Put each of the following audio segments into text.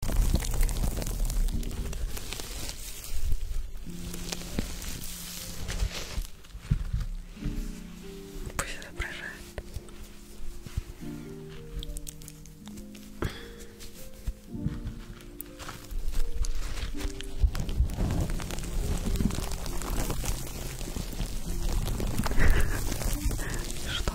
Пусть отображает. Что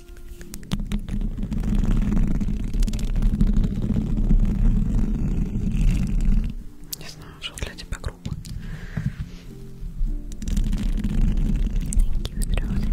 Не знаю, что для тебя грубо. Редактор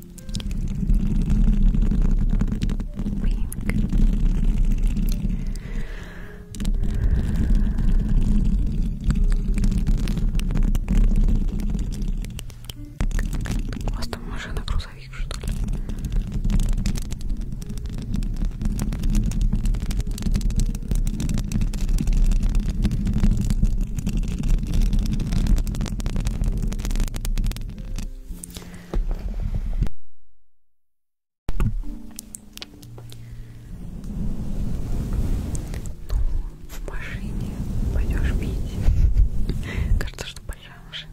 У вас там машина грузовик, что ли? Ну, в машине пойдешь пить. Кажется, что большая машина.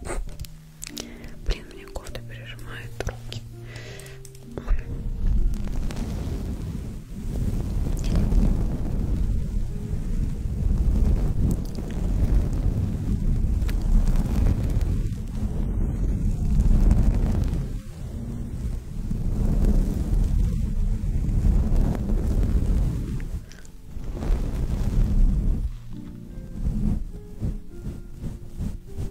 Thank you. Блин, мне коты пережимают руки. Ой. Ой,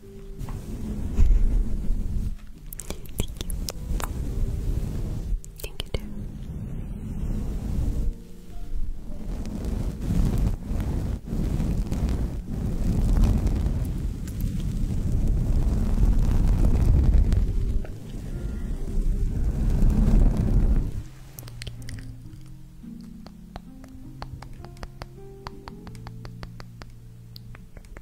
Thank you. Thank you too.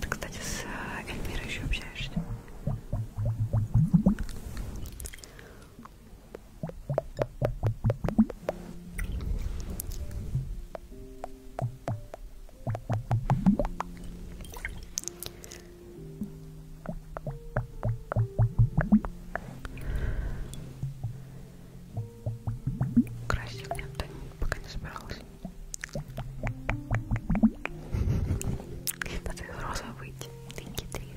Ты, кстати, с э, Эльмирой еще общаешься? Красил я да, пока не собиралась. Надо из розовой выйти. Ты хитришь.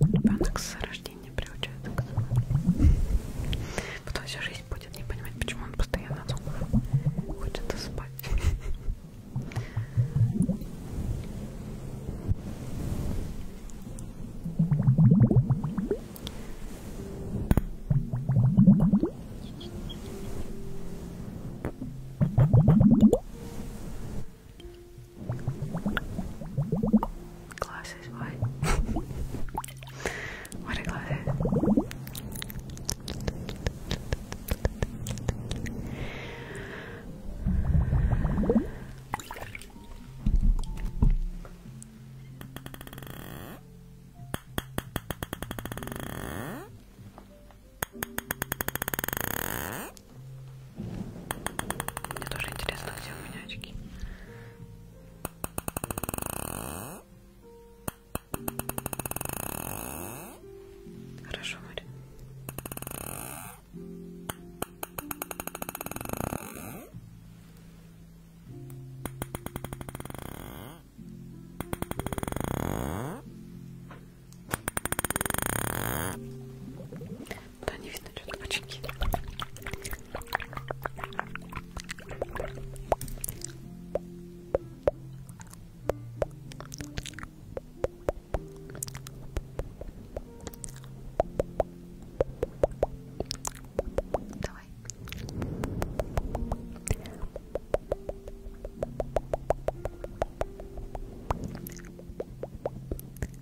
Ребенок с рождения приучается к звукам. Потом вся жизнь будет не понимать, почему он постоянно звуков хочет спать. Glasses, what? what are glasses? Мне тоже интересно, где у меня очки. Хорошо, Мария. Да, не видно, что-то очки. Давай. Давай.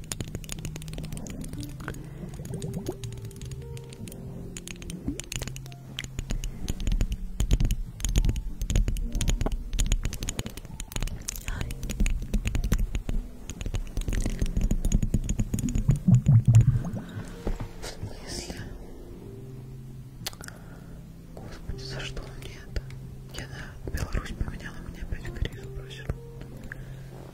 В смысле? Господи, за что мне это? Я на Беларусь поменяла, мне опять в Корею забросила.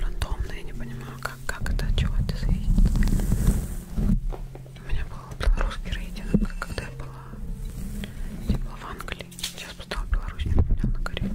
Рандомно, я не понимаю, как, как это, от чего это зависит. У меня был белорусский рейтинг, когда я была, я была в Англии. Сейчас поставила Беларусь, не поменял на Корею.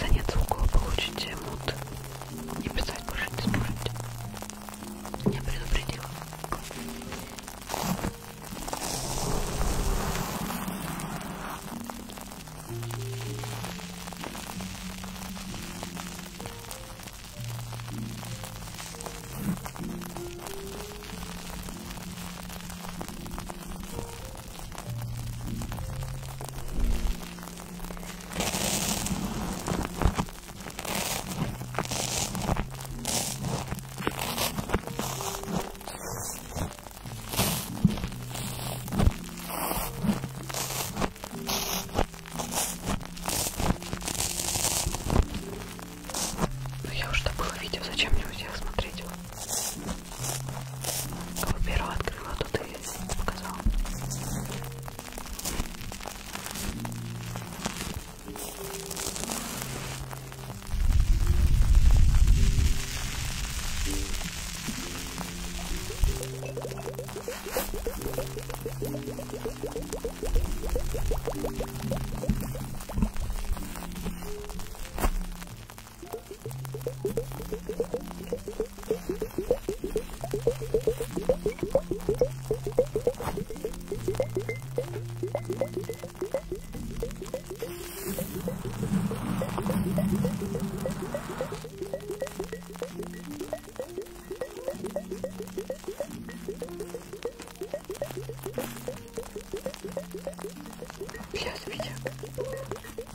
заняться углом, получить мут и писать больше не сможете. Я предупредила. Ну я уже добыла видео, зачем мне у всех смотреть его? Кого первого открыла, то ты показала. Я свеча.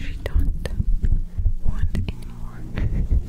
She don't want anymore. Thank you.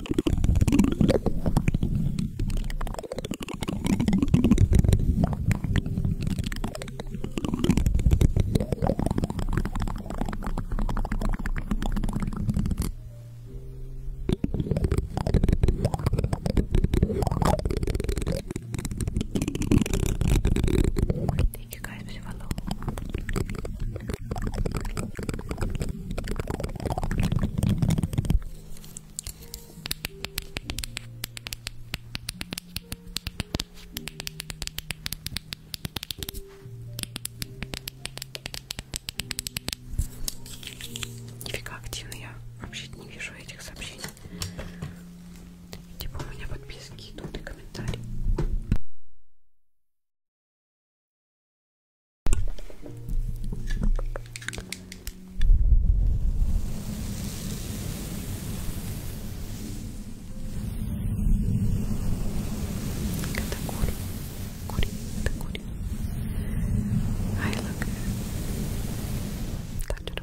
Thank you guys for the follow. Нифига активно я вообще не вижу этих сообщений. Типа у меня подписки идут и комментарии. Look at the corny, corny, the corny. I look touchable. Look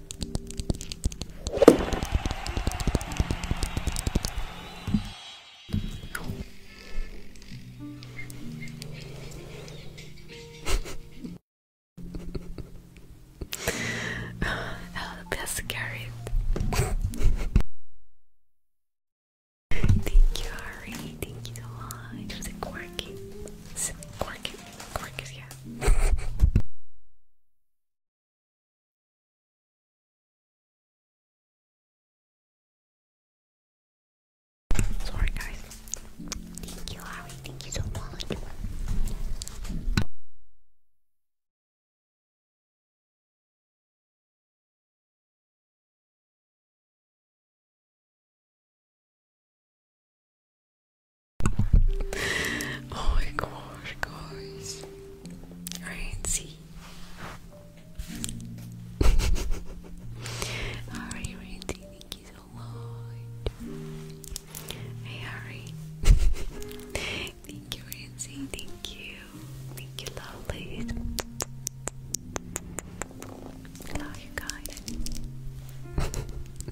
oh, the best carrot. Thank you, Harry. Thank you so much. It was a Sorry, guys. Thank you, Harry. Thank you so much oh my gosh, guys. Alright, see. Alright, Randy, thank you so much. Hey, Harry. thank you, Randy. Thank you. Thank you, lovely. Love you guys.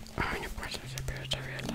А, не пользуйся без совета.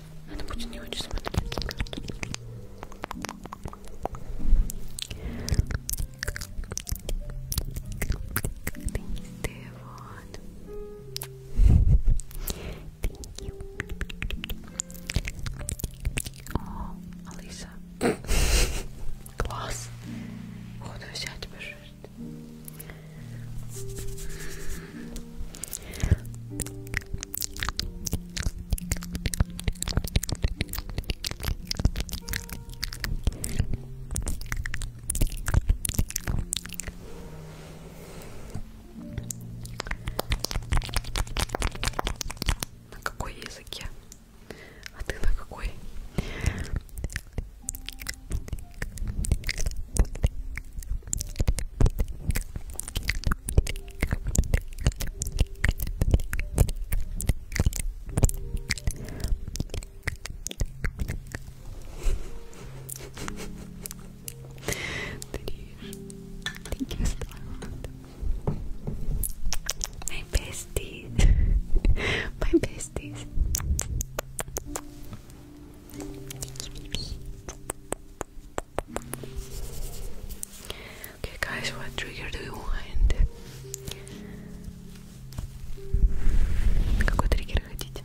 Это будет не очень смотреться, правда. Ты вот. О, Алиса. Класс. Походу взять пожалуйста. Ты на какой языке? А ты на какой? Thank you, Starland. My besties. My besties. Okay, guys, what trigger do you want? Какой триггер хотите?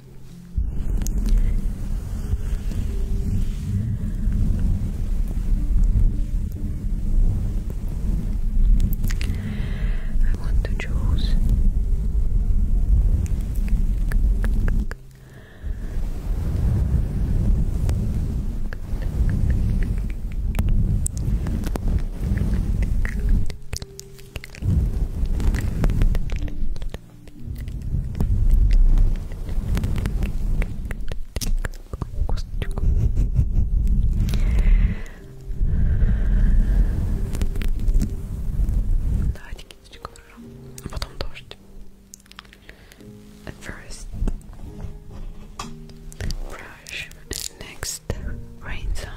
I want to choose. Давайте кисточку а потом дождь At first, brush, next, rain sounds.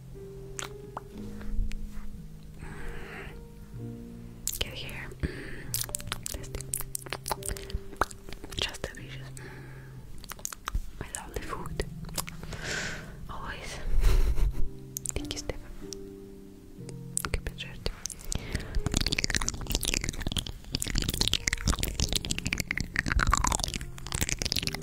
Go here. Just delicious. I love the food. Always. Thank you, Stefan. Keep it short.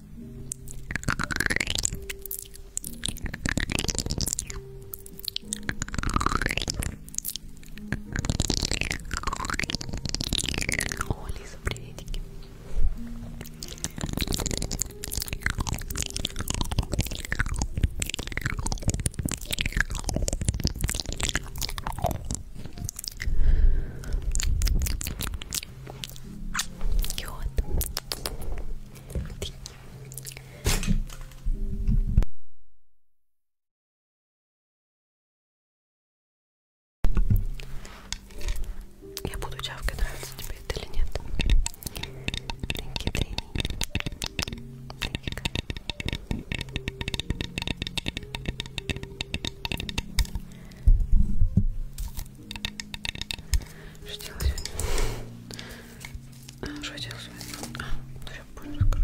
О, Лиза, приветики. Я буду чавкой, нравится тебе это или нет. Тринки, тринки. Что делать сегодня? А, что делать сегодня? А, ну я позже расскажу.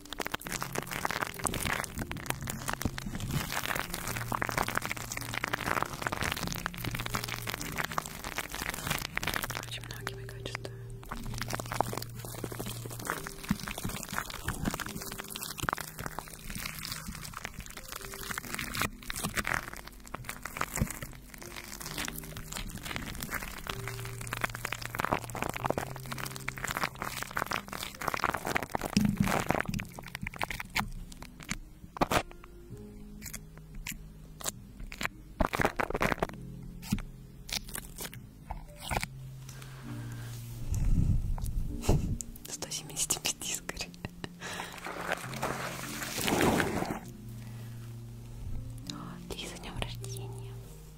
Очень многие мои качества. Сто семьдесят пяти скорее. Лиза, днем рождения.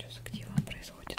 Что за где вам происходит?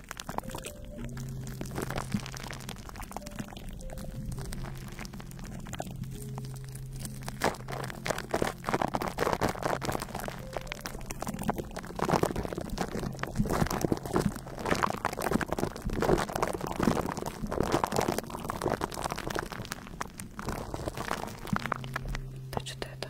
Да что-то это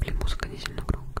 Блин, музыка не сильно громко.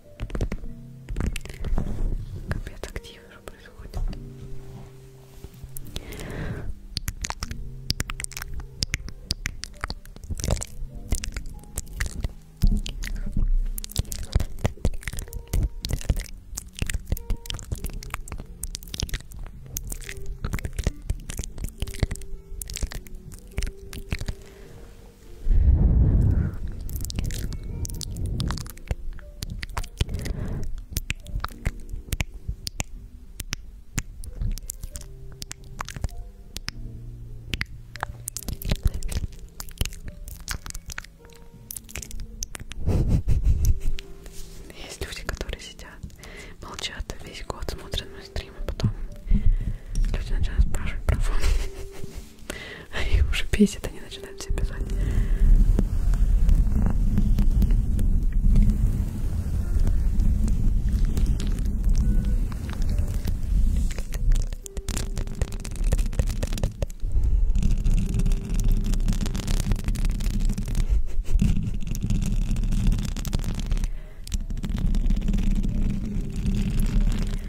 Капец, активно же происходит. Есть люди, которые сидят, молчат весь год, смотрят мой стрим, а потом люди начинают спрашивать про фон. Они уже бесит, они начинают все писать.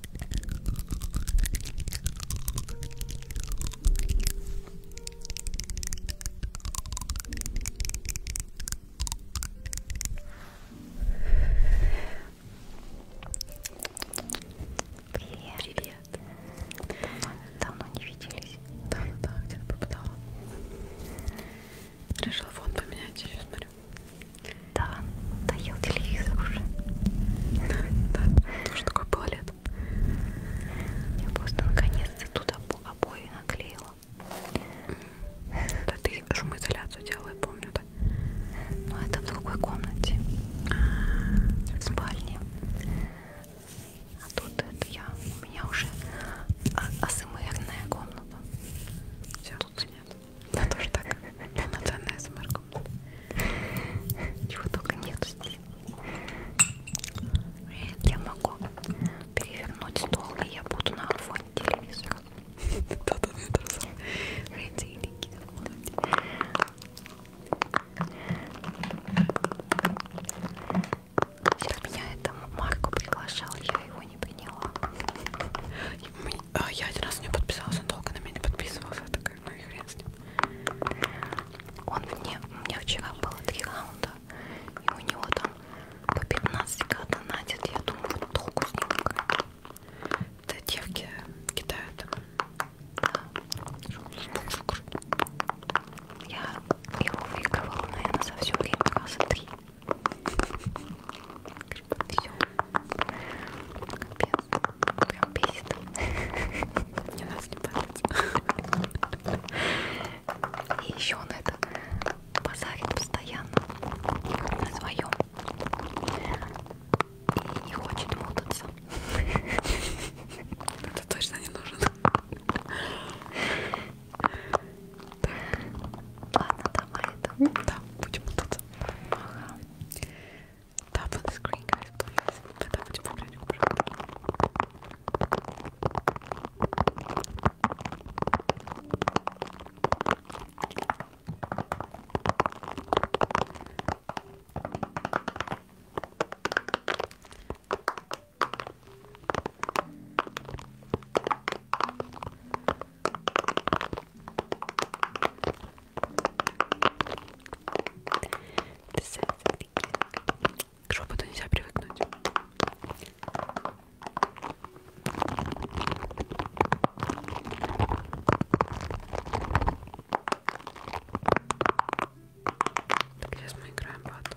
Привет. Привет. Давно не виделись. Да, да, да, где-то пропадала. Решила фон поменять, я смотрю. Да, да, доел телевизор уже. Да, тоже такое было летом. Я просто наконец-то тут обои наклеила. Да ты шумоизоляцию делала, я помню, да? Но ну, это в другой комнате. В спальне. А тут это я. У меня уже а, асмрная комната. Все тут снят. Я тоже так. Полноценная смрк. Чего только нету здесь. Я могу перевернуть стол, и я буду на фоне телевизора. Родильники. Меня это Марку приглашал, я его не приняла. А я один раз не подписалась, он долго на меня не подписывался. Так как, ну и хрен с ним. Он мне, у меня вчера было три раунда, и у него там по 15 донатит, я думаю, вот толку с ним играть. Да девки кидают. Я его выигрывала, наверное, за все время раза три. Все. Капец, прям бесит. Мне нас не понравится. И еще он это базарит постоянно на своем. И не хочет мутаться. Это точно не нужен. Ладно, давай это. Да, будем мутаться. Ага. Tap on the screen, guys, please. К шепоту нельзя привыкнуть. Так, сейчас мы играем бат.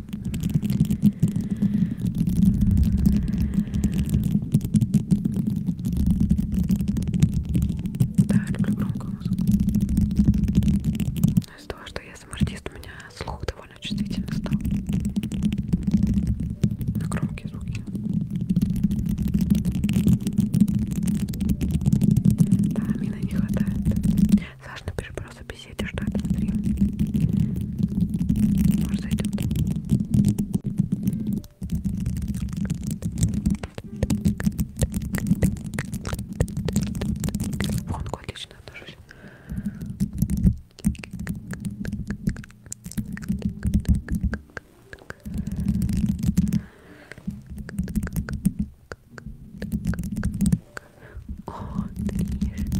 Да, я люблю громкую музыку. Но из-за того, что я сам артист, у меня слух довольно чувствительно стал. На громкие звуки. Да, мина не хватает. Саш, напиши просто беседе, что это внутри. Может зайдет. Фонку отлично отношусь. О, ты ешь.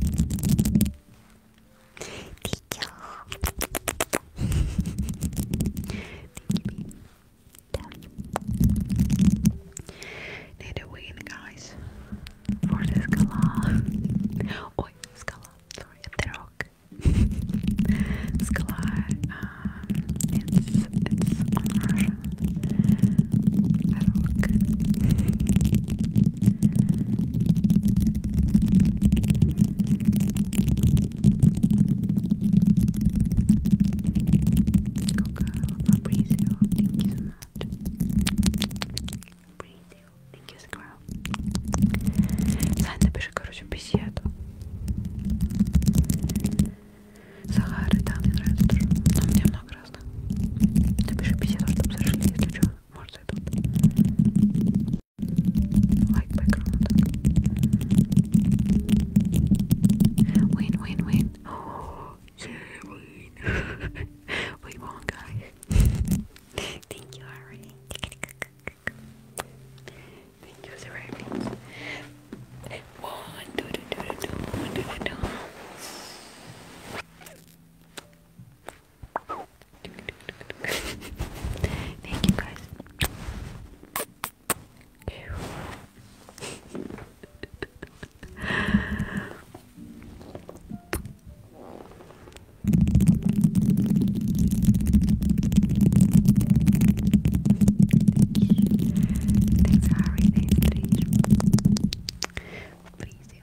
Thank you. Need a win, guys, for the Scala. Oi, Scala. Sorry, the rock. Scala. Um, The rock. Coco, breathe you. Thank you so much. Breathe you. Thank you, Squirrel. Сань, напиши, короче, беседу. Сахары, да, мне нравится тоже. Но у меня много разных. Напиши беседу, чтобы зашли, если что. more settled. Like background. Win, win, win. yeah, win. we won, guys. Thank you, Ari. Thank you, Serapis. One, two, two, two, two, two, one, two, two, two. Thank you guys. Thanks, Harry. Thanks, Please,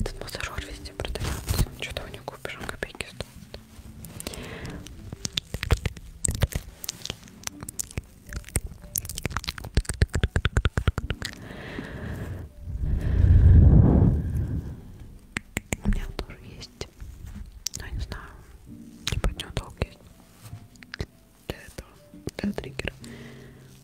Этот массажер везде продается. Что-то у него купишь, он копейки стоит. У меня он тоже есть. Но ну, я не знаю. Типа от него толк есть. Для этого. Для триггера.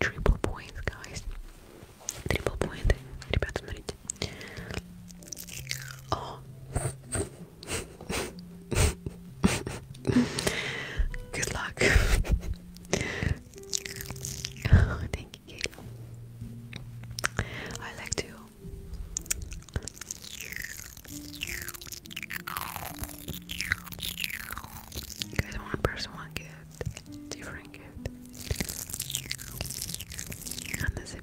Triple point, guys. Triple point. Ребята, смотрите. Oh. Good luck. Oh, thank you. I like to guys want person one gift, different gift. And this is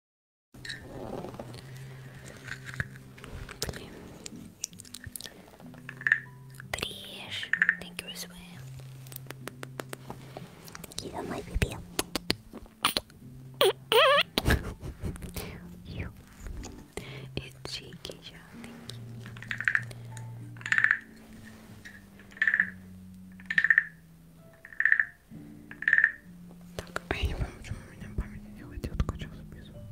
Блин. Thank you, Swim. You my baby. you. It's cheeky, yeah. Thank you. Так, а я не понимаю, почему у меня память не делает, я только сейчас записываю.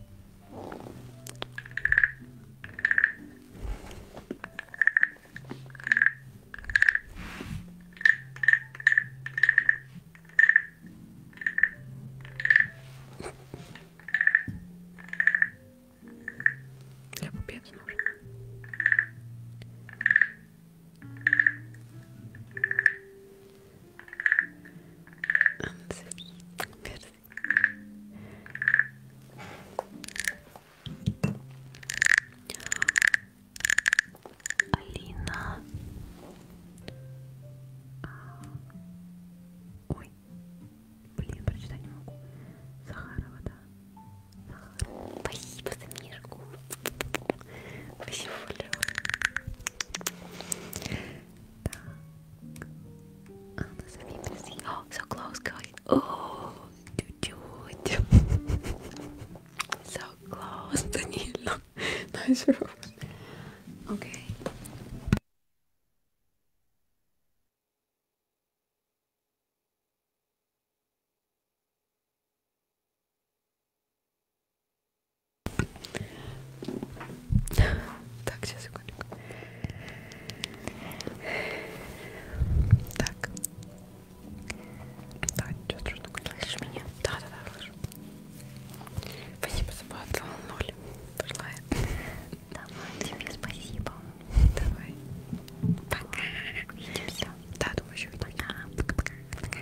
Я купец нужен. Анзови, перси. Алина. А, ой, блин, прочитать не могу. Захарова, да. Захарова. Спасибо за мишку. Спасибо, Лео. Oh, so close, guys. О, oh, So close, Danilo. Nice rose. Okay. Так, сейчас секундочку. Так. Да, ничего страшного. Слышишь меня? Да, да, да, слышу. Спасибо за поцелуй. Ноль. Пошла я. Давай, тебе спасибо. Давай. Пока. Увидимся. Да, думаю, еще увидимся. Пока. Пока. Пока.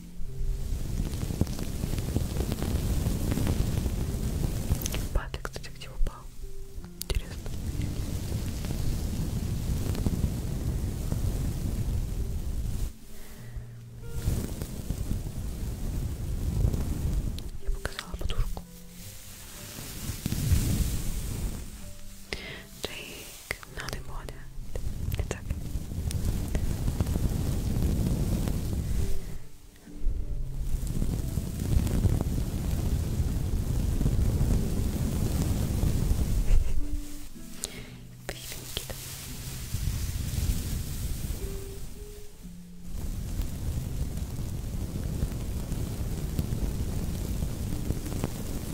Папик, кстати, где упал? Интересно. Я показала подушку. Джей not important. It's okay. Baby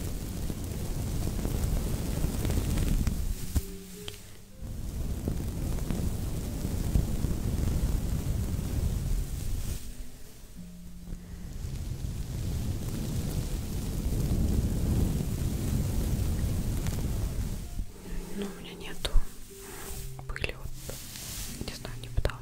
Но ну, у меня нету были вот, не знаю, не пыталась.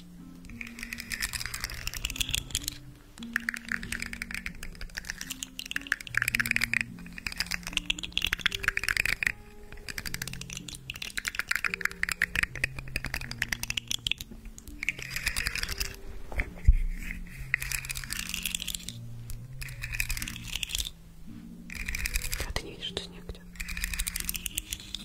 А ты не видишь, что снег идет?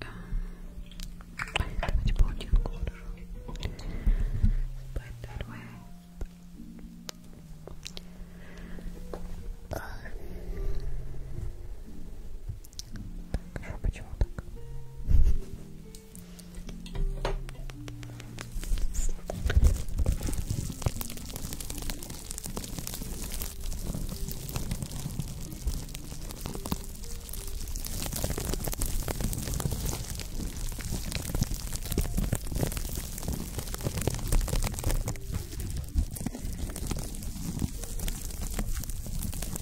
Так. Давайте полотенку хорошо. Поэтому так, почему так?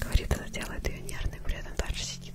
Говорит, она делает ее нервной, при этом дальше сидит.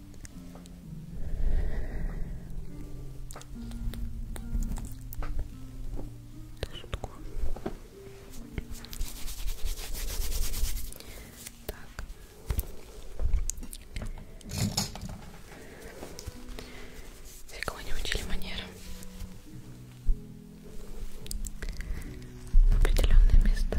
Шутку. Так. Фигово не учили манеры. Определенное место.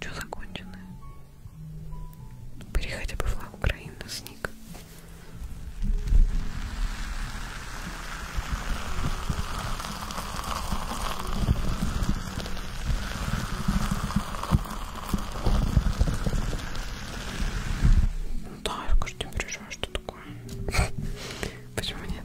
Что законченное? Бери хотя бы флаг Украины, сник. Да, я каждый день приезжаю, что такое? Почему нет?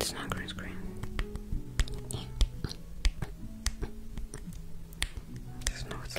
It's not green screen. There's no it's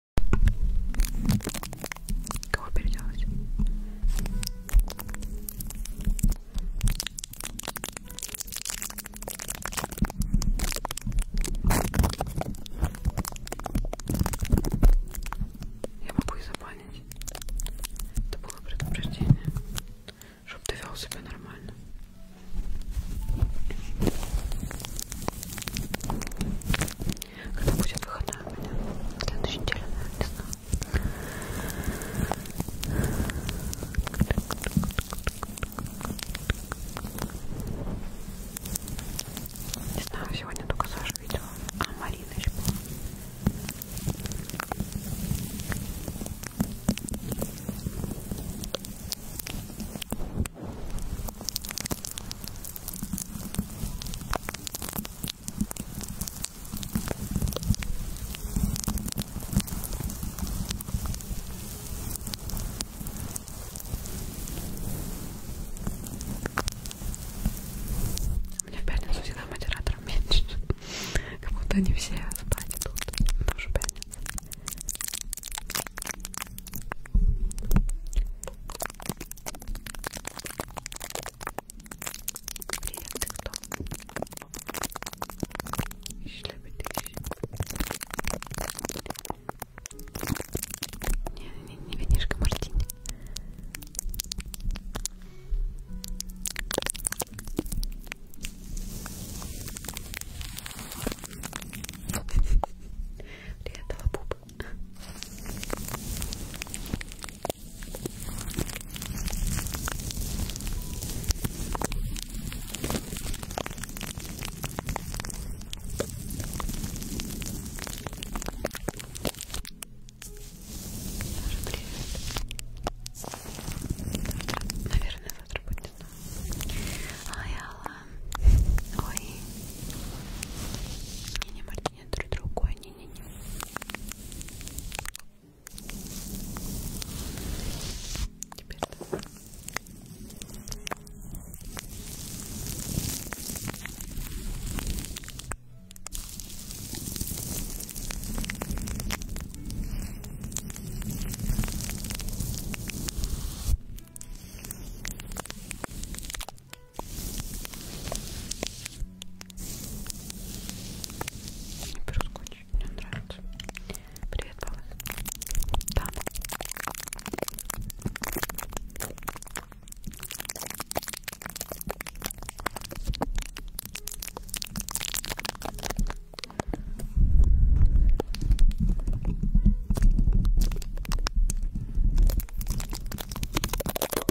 Кого переделать? Я могу и забанить. Это было предупреждение. Чтоб ты вел себя нормально. Когда будет выходной у меня? В следующей неделе, наверное, не знаю. Не знаю, сегодня только Саша видела. А, Марина еще была. У меня в пятницу всегда модератора меньше, как будто они все спать идут, но уже пятница. Привет, ты кто? Не, не, не винишка, мартини. Привет, лапу лоб. Наверное, завтра будет. Ой, Алла. Ой. Я не могу нет, друг другой, не-не-не. Теперь так. Теперь Беру скотч, мне нравится. Привет, Павел. Да.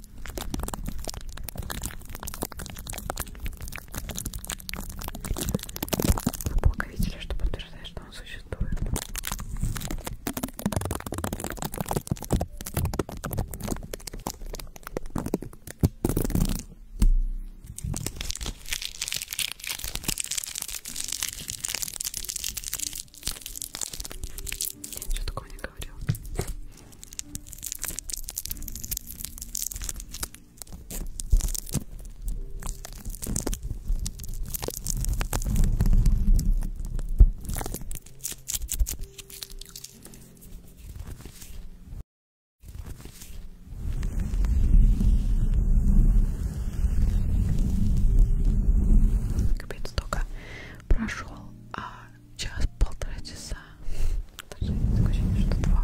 Вы плохо видели, что подтверждает, что он существует. Что такое у них говорила. Капец, только прошел, а час-полтора часа. Даже такое ощущение, что два.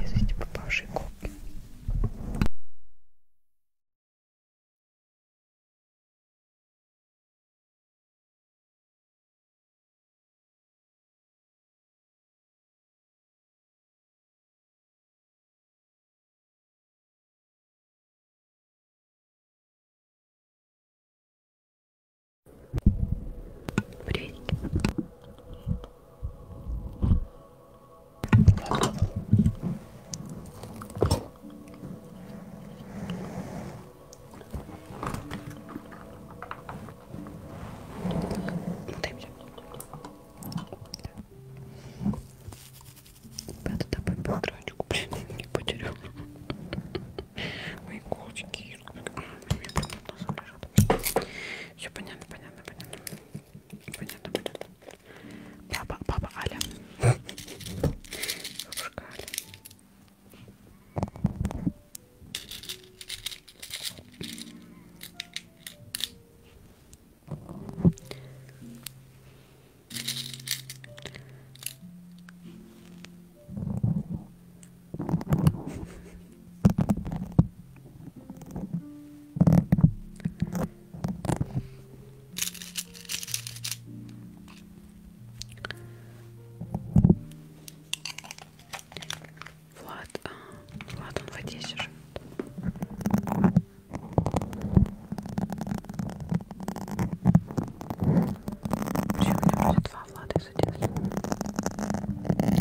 без вести попавшей губки. Вредики. Ребята, давай подрачку, блин, не потерял. Мои колочки, Все понятно, понятно, понятно. Понятно, понятно. Папа, папа Аля. Бабушка Аля. Влад, а, Влад, он в Одессе живет. Вообще у меня уже два Влада из Одессы.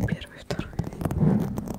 Первый, второй.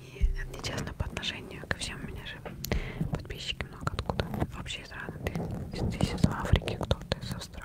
И это честно по отношению ко всем у меня же подписчики много откуда. Вообще из раны ты здесь из Африки, кто-то из Австралии.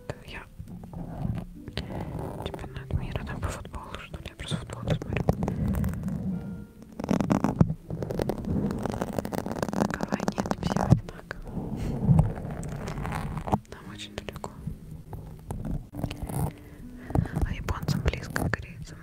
это я чемпионат мира, там по футболу, что ли, я просто футбол смотрю. Такова нет, все одинаково. Нам очень далеко. А японцам близко к корейцам.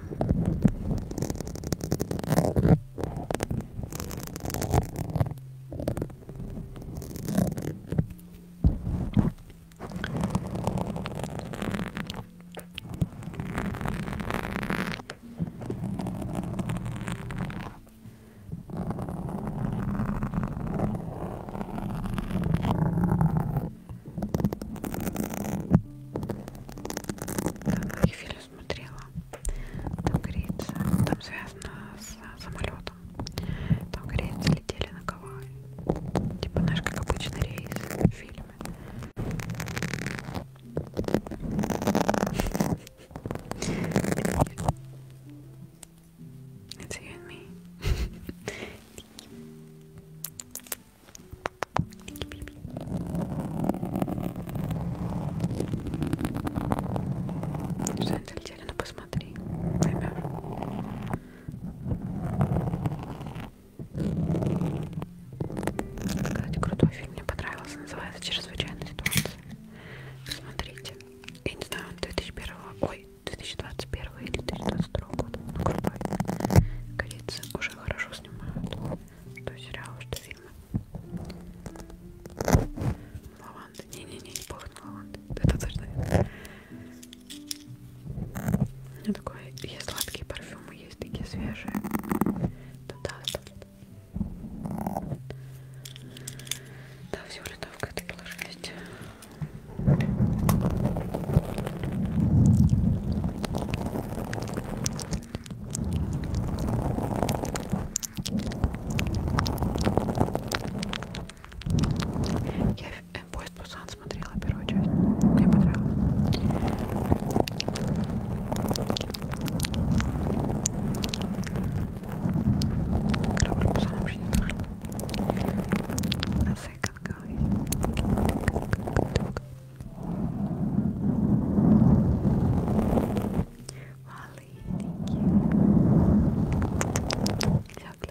Так, я фильм смотрела. Там говорится, там связано с самолетом там. Там корейцы летели на Гавайи. Типа, знаешь, как обычный рейс в фильме. It's you and me. Что они залетели? Ну посмотри. Поймешь. Кстати, крутой фильм мне понравился, называется «Чрезвычайная ситуация». Смотрите, я не знаю, он 2001, ой, 2021 или 2022 года, ну крутой. Корейцы уже хорошо снимают, что сериалы, что фильмы. Лаванда, не-не-не, не пахнет лаванда, это точно ну такой, есть сладкие парфюмы, есть такие свежие. Туда оставлю. Да, все улетовка это была жесть. Я э, Поезд Пусан смотрела первую часть. Мне понравилось. Корабль Пусан вообще не знаю. На секонка. Малышники. Всякие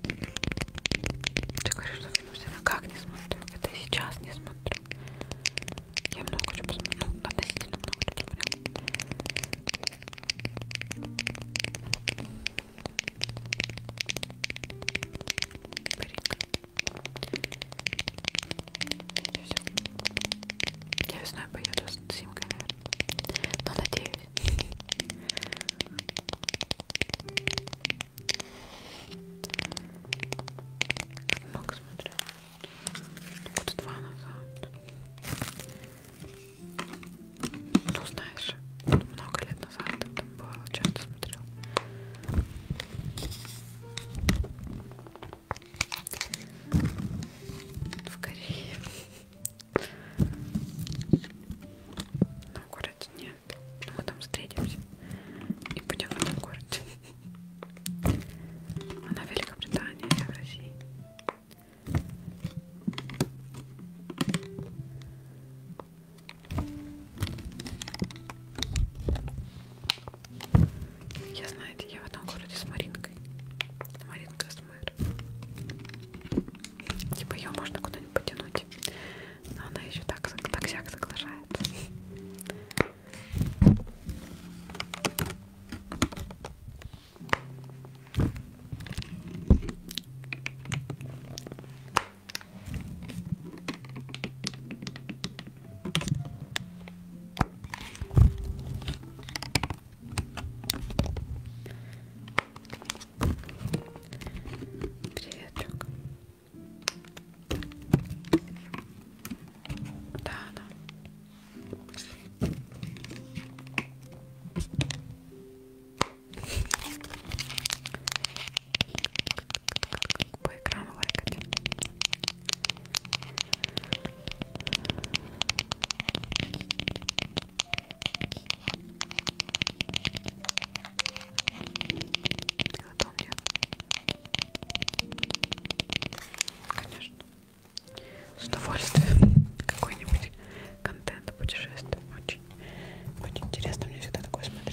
Ты говоришь, что фильм все как не смотрю. Это и сейчас не смотрю. Я много хочу посмотреть. Ну, относительно много хочу прям. Я весной поеду с Симкой, наверное. Ну, Но надеюсь. Много смотрю. Года два назад. Ну знаешь, много лет назад там бывало, часто смотрел. В Корее. На городе нет. Мы там встретимся и будем в этом городе. Она в Великобритании, я в России. Я, знаете, я в одном городе с Маринкой. Маринка с мэр. Типа ее можно куда-нибудь потянуть но она еще так так соглашается. Приветик. Да, да. По экрану лайкать. Я помню. Конечно. С удовольствием какой-нибудь контент о путешествиях. Очень, очень интересно мне всегда такое смотреть.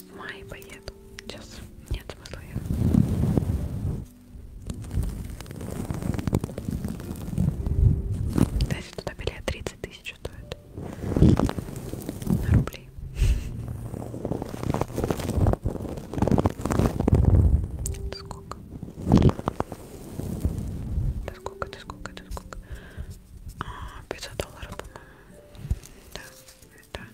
в мае поеду. Сейчас нет смысла Дайте туда билет 30 тысяч стоит. На рубли. Это сколько? Это сколько? Это сколько? Это сколько? 500 а, долларов, по-моему. Да, да,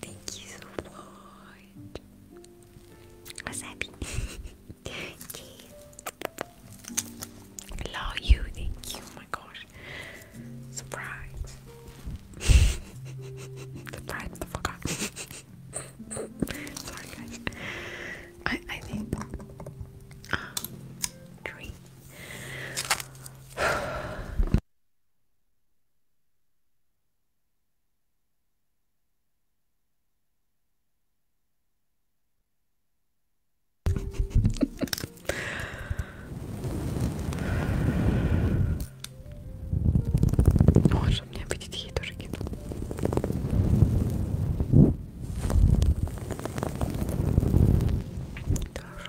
Thank you so much. Wasabi. okay. Love you. Thank you. Oh my gosh. Surprise. Surprise, motherfucker. Sorry, guys. I, I think. Um, three. Ну, он же мне видеть ей тоже кинул. Да уж.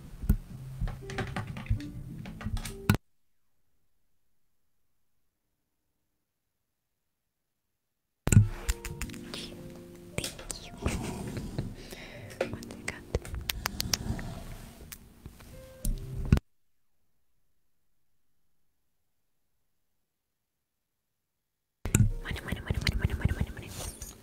Thank you. One second. Mana, mana, mana, mana, mana, mana, mana, mana.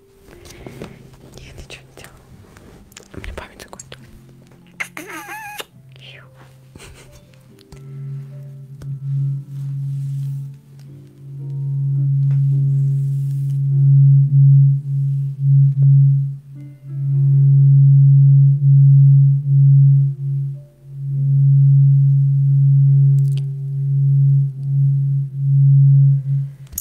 Я ничего не делала. У меня память закончилась.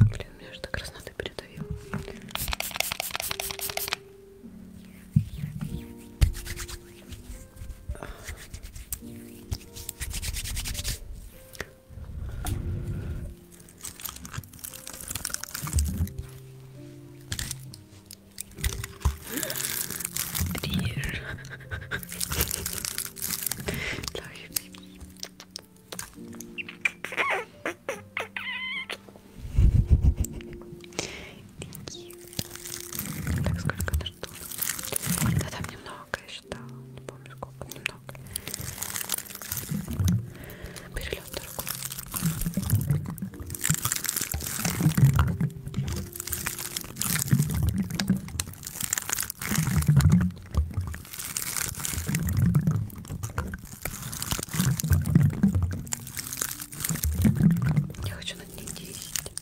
Блин, меня же до красноты передавил. Триш. Так, сколько на что? Да там немного много я считала, не помню сколько, немного. Перелет дорогой. Я хочу на ней действовать.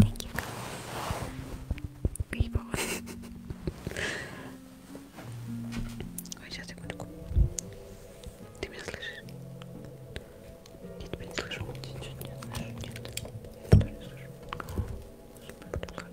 Thank you people. Ой, сейчас секундку. Ты меня слышишь? Я тебя не слышу. Ты ничего не слышу. Нет. Я тебя не слышу. Я услышала прекрасный голос.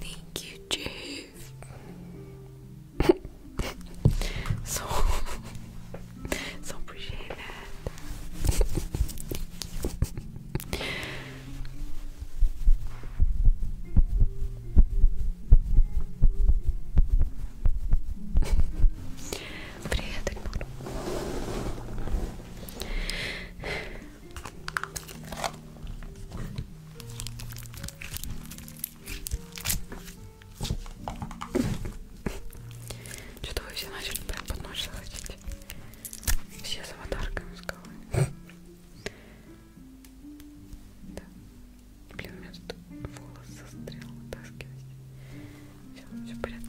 Thank you, Jeff. so, so appreciate that. Привет, Эльмар. Что-то вы все начали прям под ночь заходить. Все с аватарками с головы. Да. Блин, у меня тут волос застрял, вытаскивать. Все, все в порядке.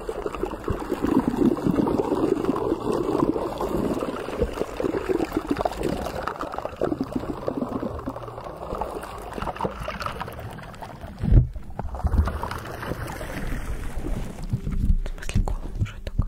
В смысле голову, что это такое?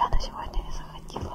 Я на сегодня не заходила.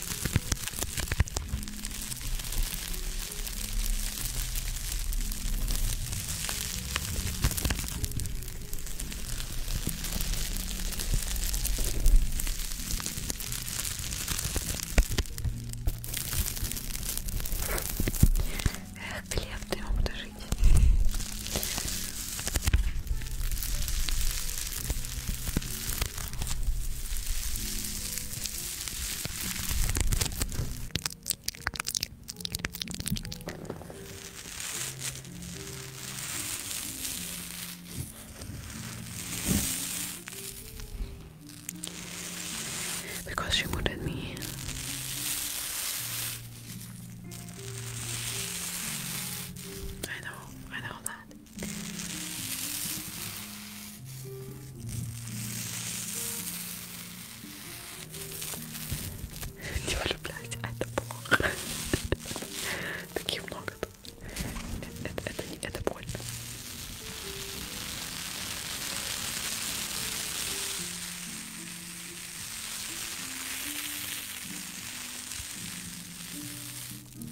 Эх, Глеб, ты ему буду жить. Because you wanted me. I know, I know that. Не влюбляйся, а это плохо. Таких много тут. Это, это, это, это больно. Так,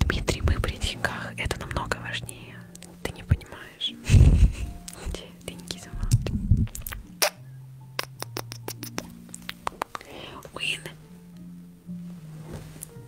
Дмитрий, мы при деньгах, это намного важнее. Ты не понимаешь. Деньги сама. Win.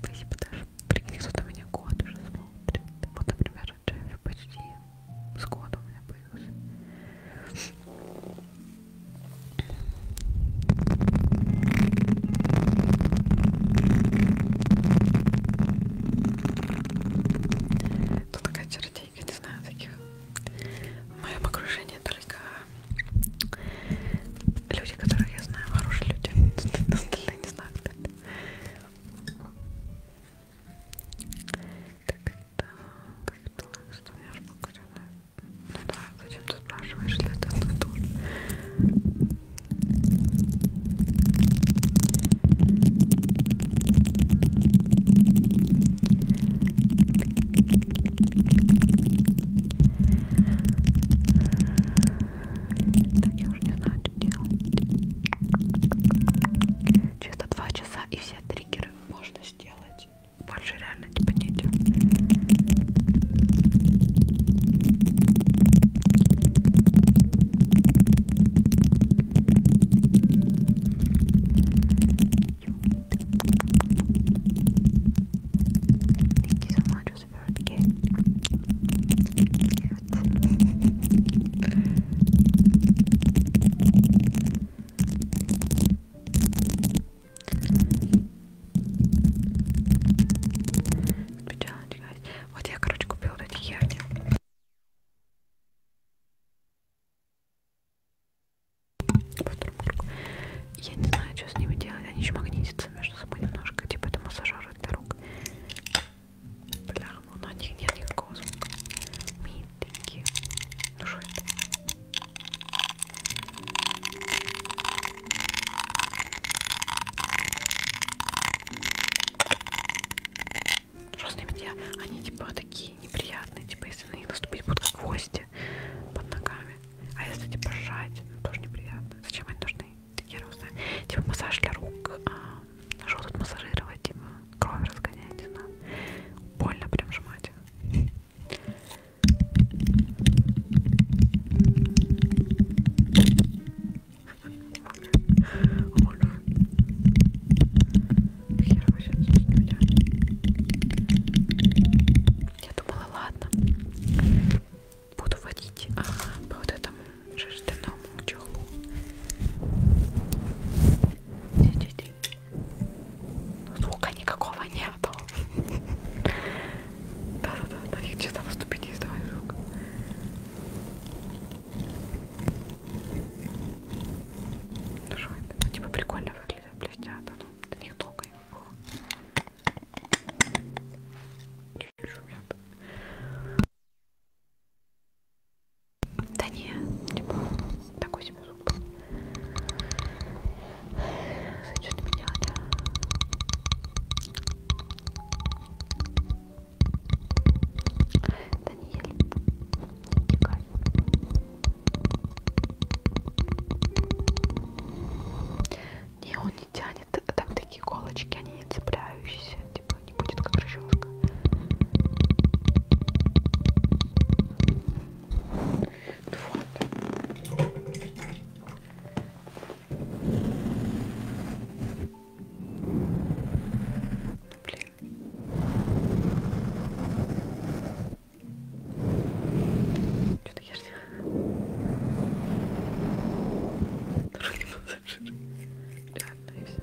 Спасибо, даже прикинь, кто-то меня год уже смотрит. Вот, например, Джефф почти с года у меня появился. Ну такая чертейка, не знаю, таких в моем окружении только люди, которых я знаю, хорошие люди, остальные не знаю, кто это. Так, так, так, что у меня аж покурено. Ну да, Зачем ты спрашиваешь, если это тоже? Так я уже не знаю, что делать. Чисто два часа и все триггеры можно сделать. Больше реально типа не делать. Thank you so much for the gift. Вот я, короче, купила вот эти яни. Я не знаю, что с ними делать. Они еще магнитятся между собой немножко. Типа это массажеры для рук. Бля, ну на них нет никакого звука. Митеньки. Ну что это? Розные медведя, они типа такие неприятные, типа если на них наступить будут как гвозди под ногами. А если типа сжать, ну, тоже неприятно. Зачем они нужны? Такие розные. Типа массаж для рук. А, что тут массажировать? Типа кровь разгонять, не знаю. Больно прям сжимать. Hold on. Я вообще Я думала, ладно. Буду водить ага, по вот этому жестяному чехлу. Сидите. Звука никакого нету. Да-да-да, на них честно наступить не издавай звук. Ну что это? Ну, типа прикольно выглядят, блестят, а ну, до них долго его было. Чуть-чуть шумят. Да не, типа, такой себе звук был. Зачем ты меня, да? Даниэль, Николь. Не, он не тянет, там такие колочки, они не цепляющиеся, типа не будет как расческа. Вот. Блин. Что ты ешь? Другой массажир. Реально, и все.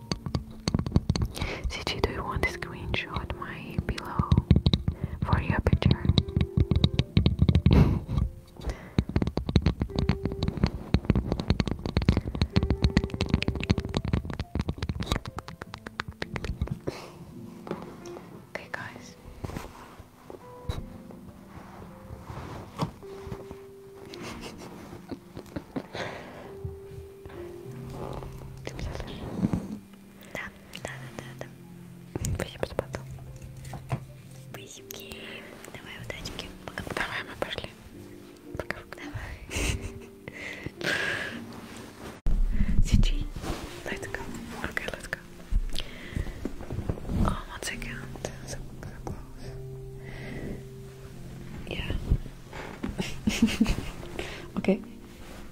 CG, do you want to screenshot my pillow for your picture? okay, guys. Ты меня слышишь? Да, да, да, да, да. Спасибо за потом. Спасибо. Давай, удачки. Пока. Давай, мы пошли. Пока. Давай. CG. Let's go. Okay, let's go. Oh, one second. So, so close. Yeah. okay.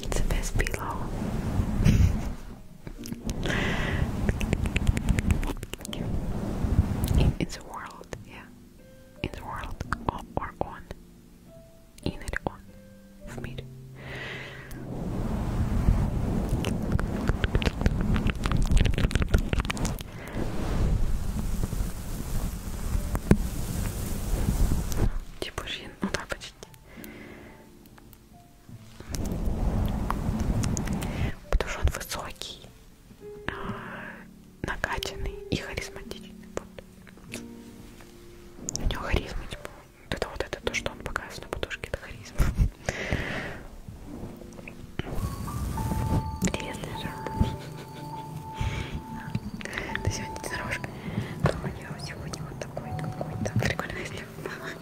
it's a best pillow. in, in world, yeah. In the world, or, or on. In it on. в мире. Типа жин, ну да, почти. Потому что он высокий, а, накачанный и харизматичный. Вот. У него харизма, типа, это вот это то, что он показывает на подушке, это харизма. Интересная жаба. Ты сегодня не дорожка. У нее сегодня вот такой какой-то прикольный, если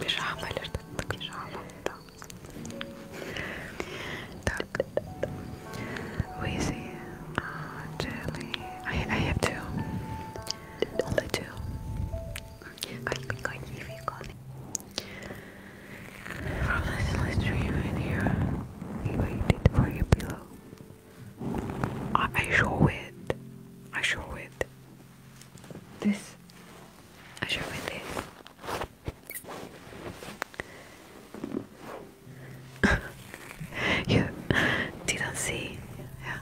пижама или что-то такое. Пижама, да. Так. Wheezy, uh, jelly. I, I have two. Only two. from this last stream video, you waited for your pillow. I, I show it. I show it. This. I show it this. you didn't see. Yeah.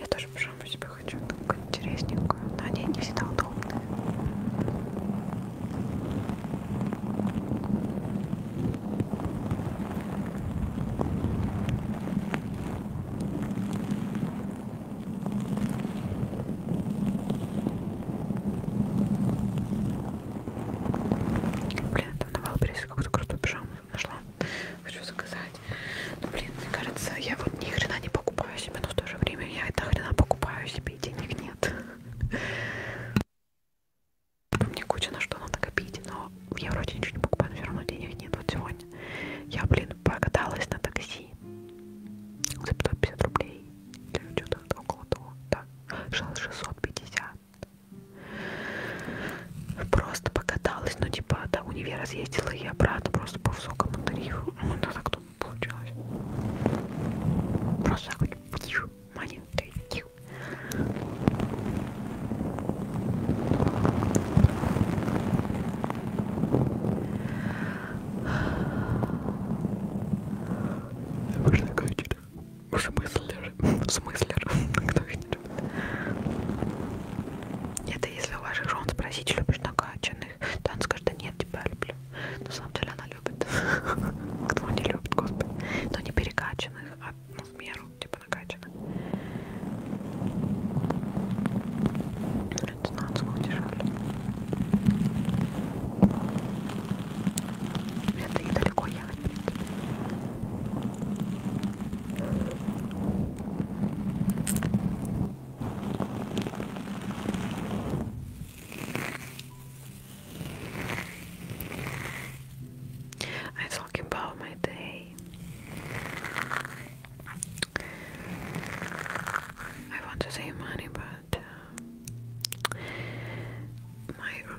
Я тоже пижаму себе хочу такую интересненькую, но они не всегда удобные. Блин, там на Валбересе какую-то крутую пижаму нашла. Хочу заказать. Но, ну, блин, мне кажется, я вот ни хрена не покупаю себе, но в то же время я это хрена покупаю себе, и денег нет. Мне куча на что надо копить, но я вроде ничего не покупаю, но все равно денег нет. Вот сегодня я, блин, покаталась на такси за 550 рублей или что-то около того, да, 650. Просто покаталась, ну типа до универа съездила и обратно просто по высокому тарифу. Ну это так тут получалось. Просто такой маленький. Можно Смыслер. Смыслер. Кто их не любит? Это если у ваших жен спросить, любишь накачанных, то она скажет, да нет, тебя люблю. На самом деле она любит. Кто не любит, господи. Но не перекачанных, а ну, в меру, типа накачанных. Это надо удержали. Это недалеко I talk about my day. I want to save money, but uh, my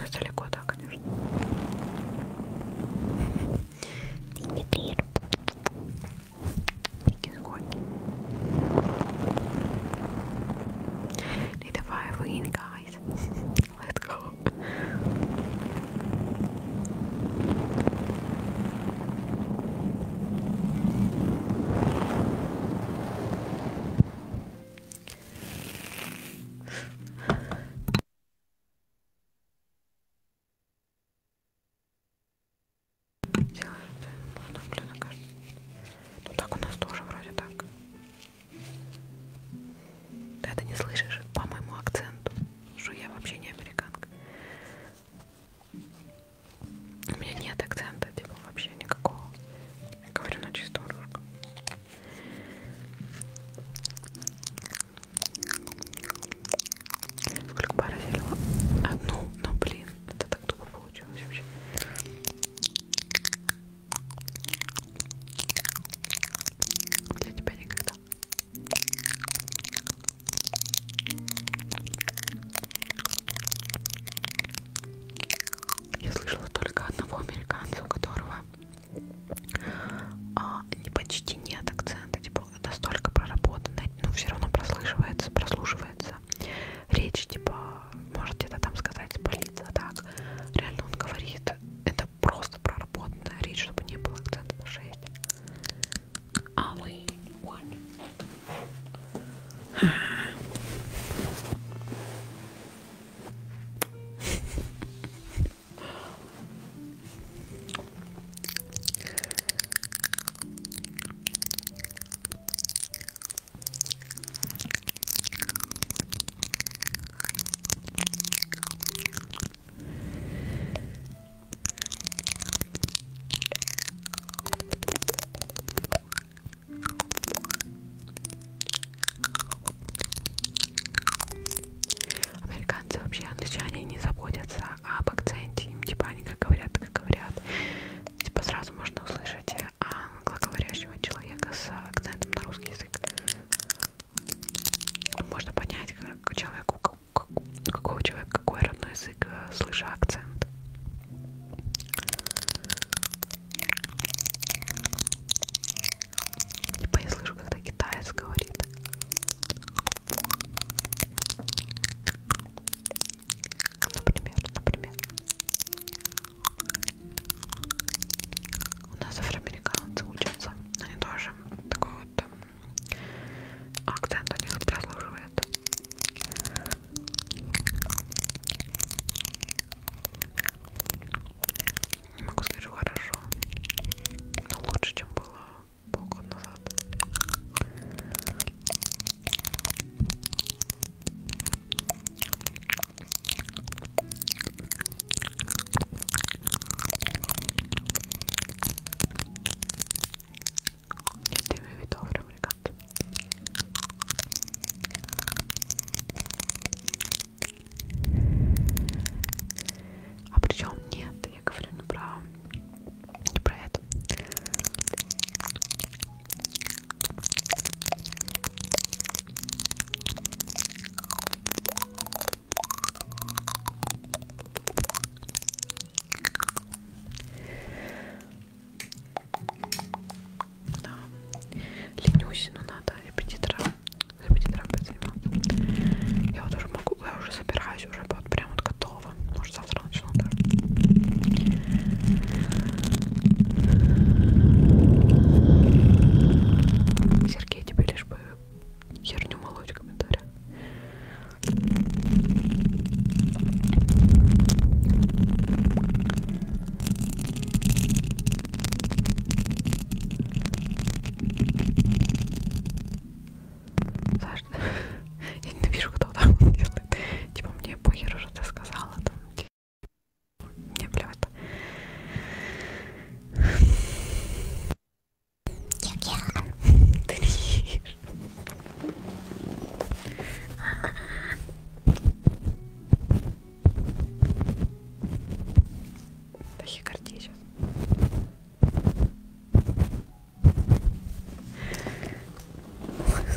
Это ну, далеко, да, конечно. Привет, привет. Need a fire win, guys. Let's go. Ладно, блин, ну так у нас тоже вроде так. Ты это не слышишь по моему акценту, что я вообще не американка. У меня нет акцента, типа вообще никакого. Я говорю на чистом русском. Сколько пара зелила? Одну, но ну, блин, это так тупо получилось вообще. Для тебя никогда. Я слышала только одного американца, у которого а, не почти нет акцента, типа настолько проработана, но ну, все равно прослушивается, прослушивается речь, типа, может где-то там сказать, болит, а так реально он говорит, это просто проработанная речь, чтобы не было акцента на шее. А вы, Американцы вообще англичане не заботятся а об акценте им типа они как говорят, так и говорят. Типа сразу можно услышать э, а, англоговорящего человека с акцентом на русский язык. Можно понять, как человеку, как, какого человека, какой родной язык, э, слыша акцент. Типа я слышу, когда китаец говорит. Например, например. У нас афроамериканцы учатся. Они тоже такой вот эм, акцент у них прослуживает. Не могу сказать, что хорошо. Но лучше, чем было полгода назад. Если вы видовый ребята. А причем нет, я говорю не ну, про не про это. Да. Ленюсь, но надо репетитора. Репетитора подзайму. Я вот уже могу, я уже собираюсь уже вот прям вот готова готова. Может завтра начну тоже. Сергей, тебе лишь бы херню молоть в комментариях. Саш, я не вижу, кто там делает. Типа мне похер уже ты сказала там. Мне плевать. Ты режешь. Тахикардия сейчас.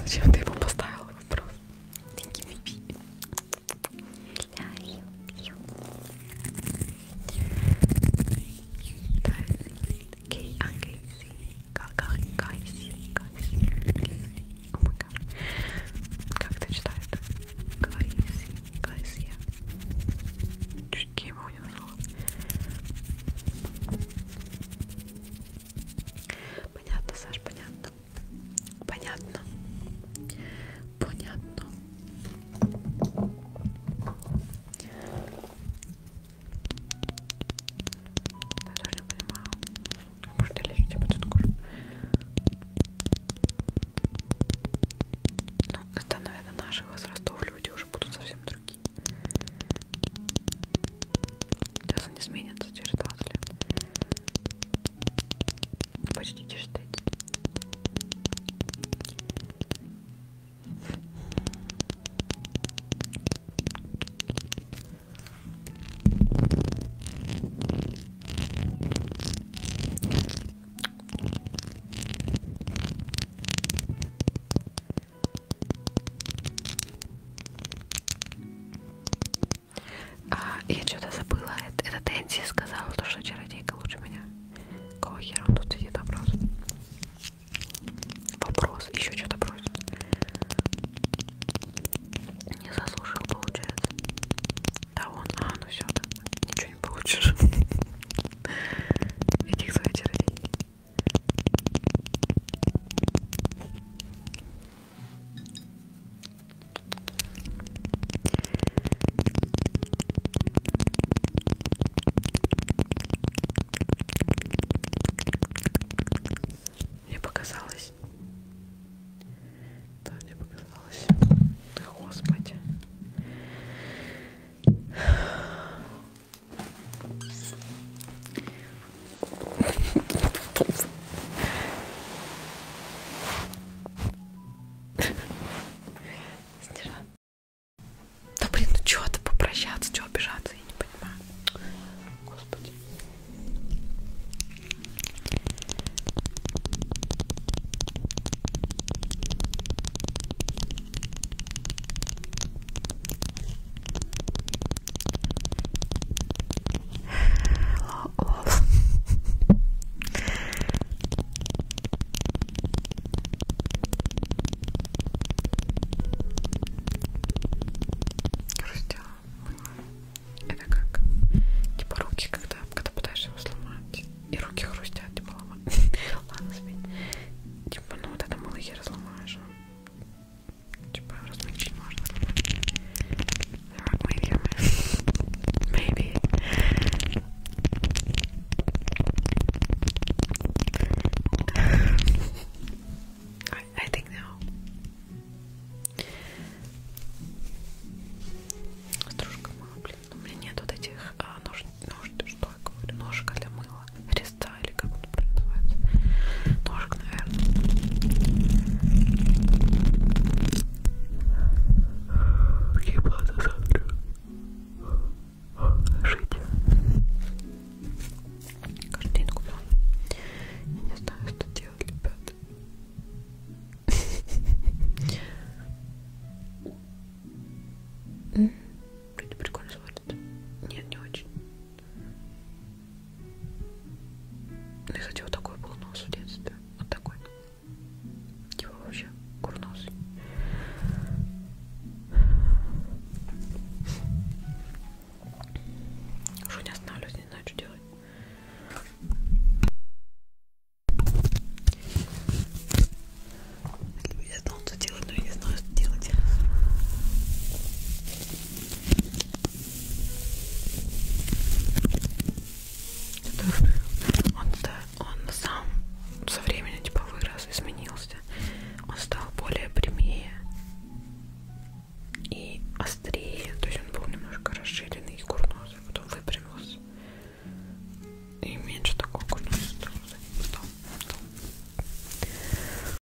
Зачем ты его поставила вопрос? Thank you, baby. Love you, you. Как это читают? Чуть его не назвала. Понятно, Саш, понятно. Понятно. Понятно. Я даже не понимаю. Может, я лечу тебе тут кожу? Ну, это, наверное, наших возрастов люди уже будут совсем другие ноги. Сейчас они сменятся через 20 лет. Почти чистить. А, я что-то забыла. Это, это Тенси сказала, то, что чародейка лучше меня. Кого хера он тут сидит вопрос? Вопрос. Еще что-то просит. Не заслужил, получается. Да он. А, ну все, да. ничего не получишь. Иди к своей чародейке. Мне показалось. Да, мне показалось. Да, господи. Снежан. Да блин, ну чего ты попрощаться, чего обижаться, я не понимаю. Господи. Лол. Крустила Это как? Типа руки, когда, когда пытаешься его сломать. И руки хрустят, типа ломать. Ладно, спи. Типа, ну вот это мыло я разломаешь. А? Типа размочить можно. Maybe. I, I think no. Стружка мыла, блин. У меня нет вот этих а, нож, нож, что я говорю, ножек для мыла. Реста или как он правильно называется. Ножик, наверное. Какие планы завтра? Жить. Каждый день куда? Я не знаю, что делать, ребята. Вроде прикольно смотрится. Нет, не очень. Ну, и хотя вот такой был нос в детстве. Вот такой. Его типа вообще курнос. Уже не останавливаюсь, не знаю, что делать. Я знал, что делать, но я не знаю, что делать. Он, он сам со временем типа вырос, изменился. Он стал более прямее и острее. То есть он был немножко расширенный и курносый. А потом выпрямился. И меньше такого курносый стал. стал, стал.